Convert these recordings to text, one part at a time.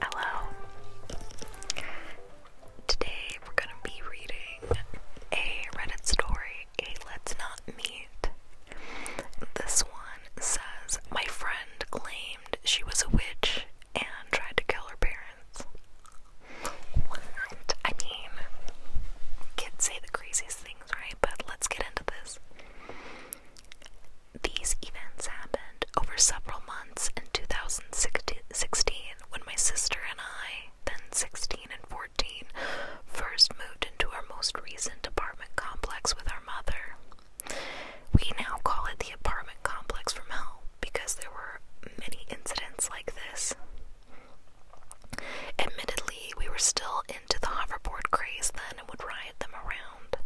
Hello. Today we're going to be reading a Reddit story, a Let's Not Meet. This one says My friend claimed she was a witch and tried to kill her parents. I mean, kids say the craziest things, right? But let's get into this. These events happened over several months in 2016 when my sister and I, then 16 and 14, first moved into our most recent apartment complex with our mother. We now call it the apartment complex from hell because there were many incidents like this. Admittedly, we were still into the hoverboard craze then and would ride them around.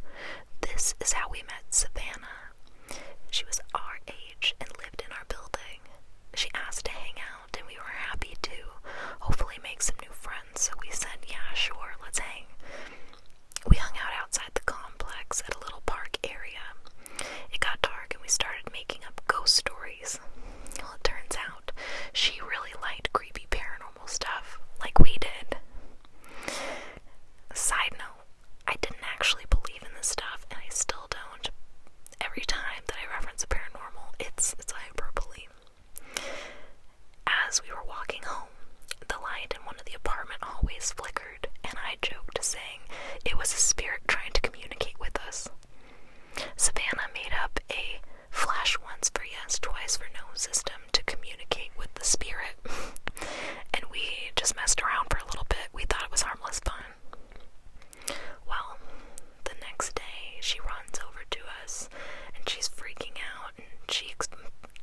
This is how we met Savannah. She was our age and lived in our building. She asked to hang out, and we were happy to hopefully make some new friends, so we said, Yeah, sure, let's hang. We hung out outside the complex at a little park area. It got dark and we started making up ghost stories. Well, it turns out she really liked creepy paranormal stuff like we did. Side note, I didn't actually believe in this stuff and I still don't. Every time that I reference a paranormal, it's it's hyperbole. As we were walking home, the light in one of the apartment hallways flickered, and I joked, saying it was a spirit trying to communicate with us. Savannah made up a flash once for yes, twice for no system to communicate with the spirit. and we just messed around for a little bit. We thought it was harmless fun. Well, the next day she runs over to us and she's freaking out and she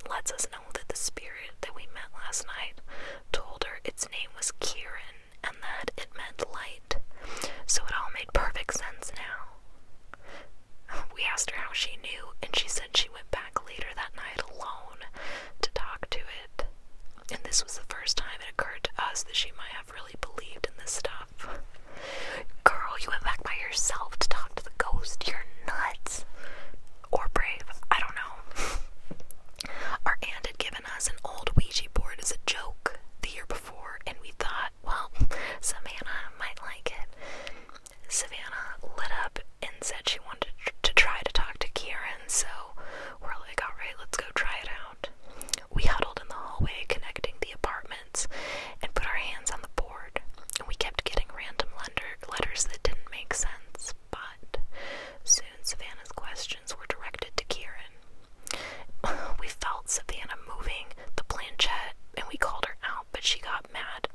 lets us know that the spirit that we met last night told her its name was Kieran and that it meant light, so it all made perfect sense now. We asked her how she knew, and she said she went back later that night alone to talk to it. And this was the first time it occurred to us that she might have really believed in this stuff. Girl, you went back by yourself to talk to the ghost. You're nuts. Or brave. I don't know. Our aunt had given given us an old Ouija board as a joke the year before, and we thought, well, Savannah might like it. Savannah lit up and said she wanted to try to talk to Kieran, so we're like, alright, let's go try it out. We huddled in the hallway connecting the apartments and put our hands on the board, and we kept getting random letters that didn't make sense. But soon Savannah's questions were directed to Kieran. we felt Savannah moving the planchet, and we called her out, but she got mad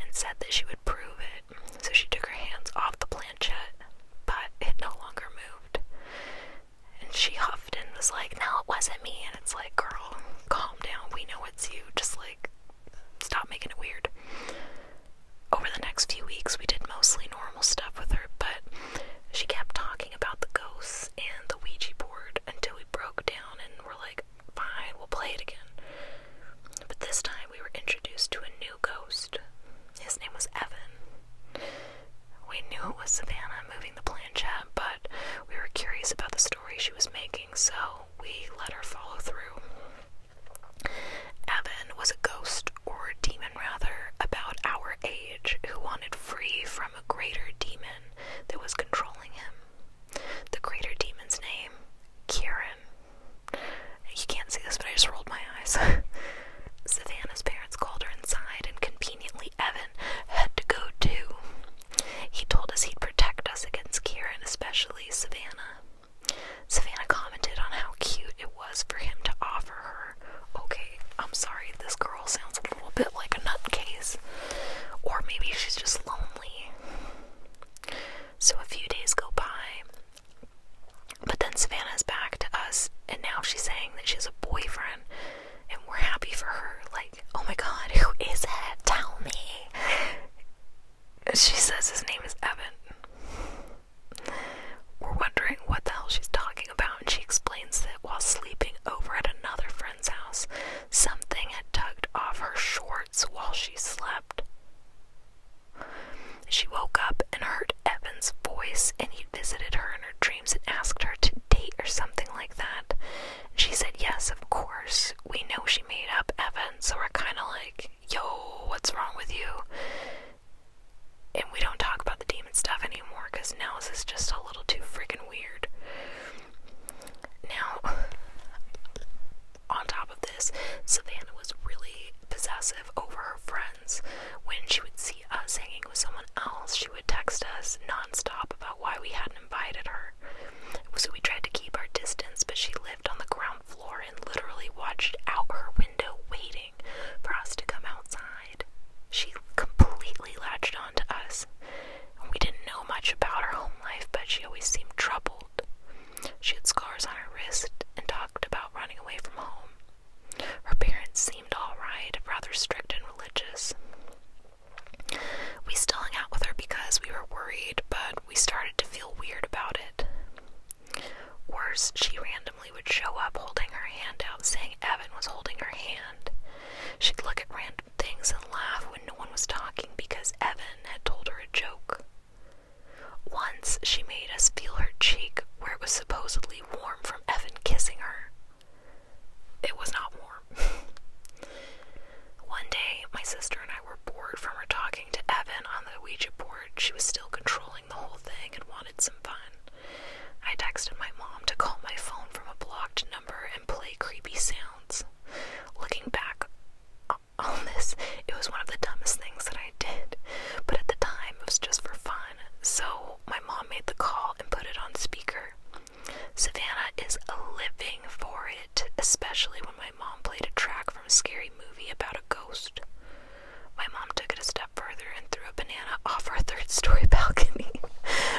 and said that she would prove it. So she took her hands off the planchet, but it no longer moved. And she huffed and was like, No, it wasn't me. And it's like, Girl, calm down. We know it's you. Just like, stop making it weird over the next few weeks, we did mostly normal stuff with her, but she kept talking about the ghosts and the Ouija board until we broke down and were like, fine, we'll play it again. But this time we were introduced to a new ghost. His name was Evan. We knew it was Savannah moving the planchette, but we were curious about the story she was making, so we let her follow through. Evan was a ghost, or demon rather, about our age, who wanted free from a greater demon that was controlling him. The greater demon's name, Kieran. You can't see this, but I just rolled my eyes. Savannah's parents called her inside, and conveniently Evan had to go too. He told us he'd protect us against Kieran, especially Savannah. Savannah commented on how cute it was for him to offer her. Okay, I'm sorry, this girl sounds a little bit like a nutcase. Or maybe she's just lonely. So a few days go by. But then Savannah's back to us, and now she's saying that she has a boyfriend, and we're happy for her. Like, oh my god, who is it? Tell me. She says his name is Evan. We're wondering what the hell she's talking about, and she explains that while sleeping over at another friend's house, something had tugged off her shorts while she slept. She woke up and heard Evan's voice, and he visited her in her dreams and asked her to date or something like that. And she said, Yes, of course. We know she made up Evan, so we're kind of like, yo, what's wrong with you? And we don't talk about the demon stuff anymore because now this is just a little too freaking weird. Now, on top of this, Savannah was really possessive over her friends. When she would see us hanging with someone else, she would text us nonstop about why we hadn't invited her. So we tried to keep our distance, but she lived on the ground front and literally watched out her window, waiting for us to come outside. She completely latched onto us. We didn't know much about her home life, but she always seemed troubled. She had scars on her wrist and talked about running away from home. Her parents seemed all right, rather strict and religious. We still hung out with her because we were worried, but we started to feel weird about it. Worse, she randomly would show up holding her hand out, saying Evan was holding her hand. She'd look at random things and laugh when no one was talking because Evan had told her a joke. Once, she made us feel her cheek where it was supposedly warm from Evan kissing her. It was not warm. One day, my sister and I were bored from her talking to Evan on the Ouija board, she was still controlling the whole thing and wanted some fun. I texted my mom to call my phone from a blocked number and play creepy sounds. Looking back on this, it was one of the dumbest things that I did, but at the time it was just for fun, so my mom made the call and put it on speaker. Savannah is living for it especially when my mom played a track from a scary movie about a ghost. My mom took it a step further and threw a banana off our third story balcony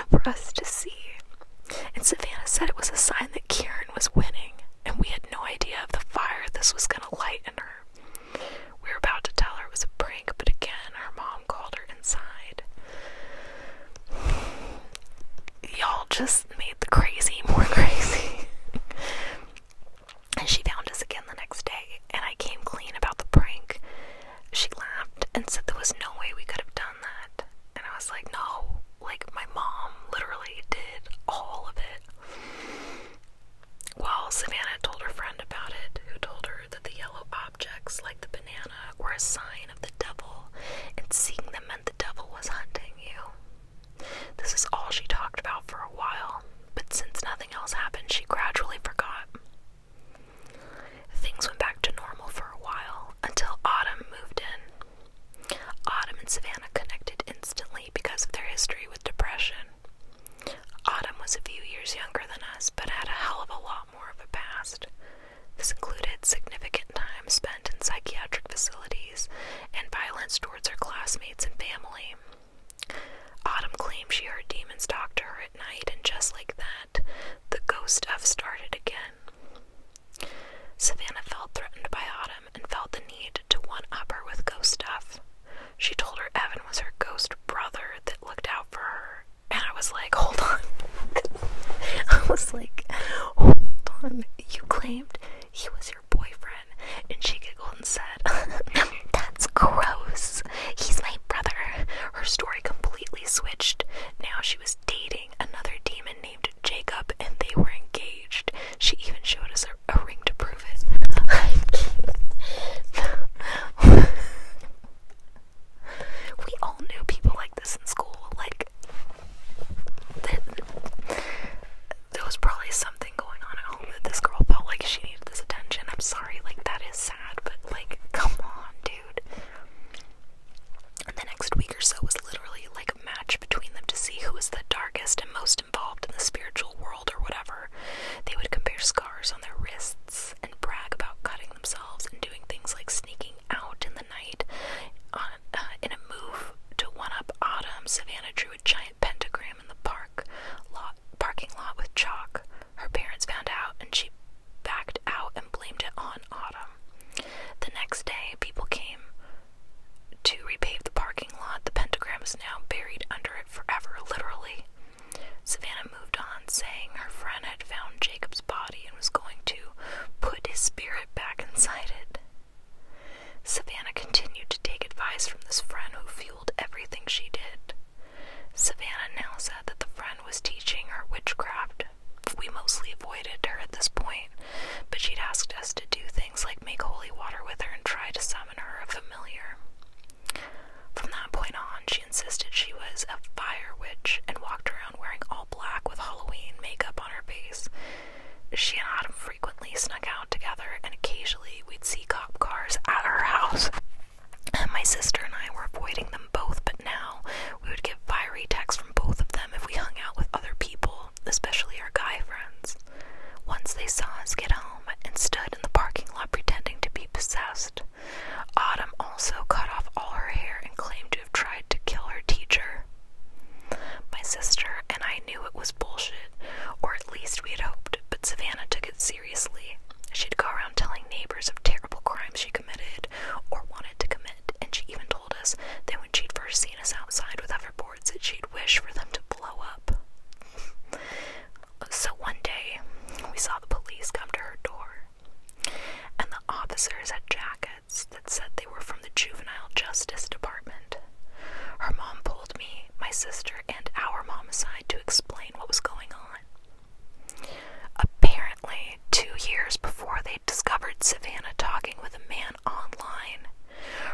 for us to see. And Savannah said it was a sign that Kieran was winning, and we had no idea of the fire this was going to light in her. We were about to tell her it was a prank, but again, our mom called her inside. Y'all just made the crazy more crazy. and she found us again the next day, and I came clean about the prank. She laughed and said there was no way we could have done that. And I was like, no, like my mom literally did all of it. Well, Savannah told her friend about it, who told her that the yellow objects, like the banana, were a sign of the devil, and seeing them meant the devil was hunting you. This is all she talked about for a while, but since nothing else happened, she gradually forgot. Things went back to normal for a while until Autumn moved in. Autumn and Savannah connected instantly because of their history with depression. Autumn was a few years younger than us, but had a hell of a lot more of a past. This included significant time spent in psychiatric facilities and violence towards her classmates and family. Autumn claimed she heard demons talk to her at night, and just like that, the ghost stuff started again. Savannah felt threatened by Autumn and felt the need to one up her with ghost stuff. She told her Evan was her ghost brother that looked out for her, and I was like, hold on. I was like, hold on. You claimed he was your boyfriend. And she giggled and said, That's gross. He's my brother. Her story completely switched. Now she was dating another demon named Jacob and they were engaged. She even showed us a, a ring to prove it. we all knew people like this in school. Like, there was probably something going on at home that this girl felt like she needed this attention. I'm sorry, like that is sad, but like, come on, dude. the next week or so was literally like a match between them to see who was the darkest and most involved in the spiritual world or whatever. They would compare scars on their wrists and brag about cutting themselves and doing things like sneaking out in the night uh, uh, in a move to one up autumn, Savannah drew a giant pentagram in the park lot, parking lot with chalk. Her parents found out, and she backed out and blamed it on autumn. The next day, people came to repave the parking lot. The pentagram is now buried under it forever, literally. Savannah moved on, saying her friend had found Jacob's body and was going to put his spirit back inside it. Savannah continued to take advice from this friend who fueled everything she did. Savannah now said that the friend was teaching her witchcraft. We mostly avoided her at this point, but she'd asked us to do things like make holy water with her and try to summon her a familiar. From that point on, she insisted she was a fire witch and walked around wearing all black with Halloween makeup on her face. She and Autumn frequently snuck out together, and occasionally we'd see cop cars at her house. And My sister and I were avoiding them both, but now we would get fiery texts from both of them if we hung out with other people, especially our guy friends. Once they saw us get home and stood in the parking lot pretending to be possessed. Autumn also cut off all her hair and claimed to have tried to kill her teacher. My sister and I knew it was bullshit, or at least we had hoped, but Savannah took it seriously. She'd go around telling neighbors of terrible crimes she committed or wanted to commit, and she even told us that when she'd first seen us outside with boards, that she'd wish for them to blow up. so one day, we saw the police come to her door and the officers had jackets that said they were from the juvenile justice department. Her mom pulled me, my sister, and our mom aside to explain what was going on. Apparently, two years before they discovered Savannah talking with a man online,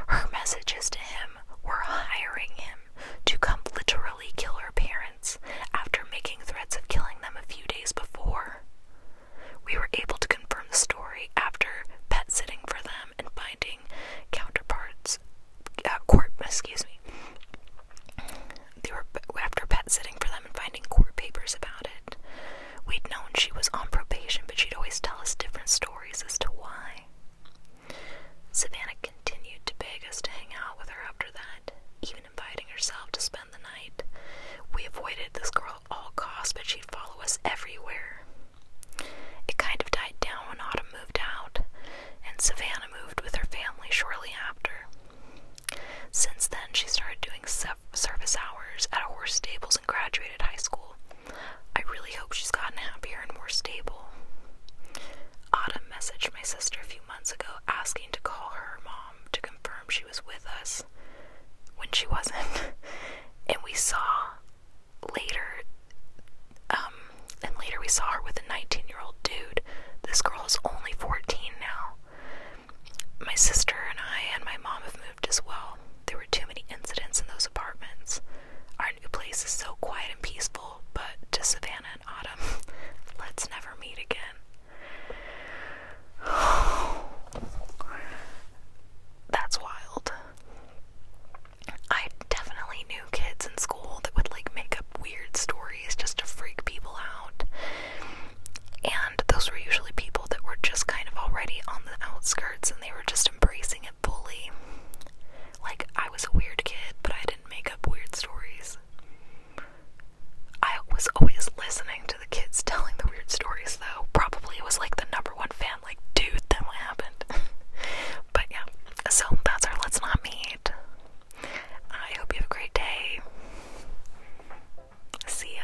her messages to him were hiring him to come literally kill her parents after making threats of killing them a few days before. We were able to confirm the story after pet sitting for them and finding counterparts, uh, court, excuse me. after pet sitting for them and finding court papers about it. We'd known she was on probation, but she'd always tell us different stories as to why. Savannah continued to beg us to hang out with her after that, even inviting herself to spend the night. We avoided this girl at all costs, but she'd follow us everywhere. It kind of died down when Autumn moved out, and Savannah moved with her family shortly after. Since then, she started doing service hours at a horse stables and graduated high school. I really hope she's gotten happier and more stable. Autumn messaged my sister a few months ago asking to call her mom to confirm she was with us when she wasn't. and we saw later, um, and later we saw her with a 19 year old dude. This girl is only 14 now. My sister and I and my mom have moved as well. There were too many incidents in those apartments. Our new place is so quiet and peaceful, but to Savannah and Autumn, let's never meet again. That's wild. I definitely knew kids in school that would like make up weird stories just to freak people out. And those were usually people that were just kind of already on the outskirts and they were just embracing it fully. Like, I was a weird kid, but I didn't make up weird stories. I was always listening to the kids telling the weird stories, though. Probably was like the number one fan, like, dude, then what happened? but yeah, so that's our Let's Not Meet. I hope you have a great day. See ya.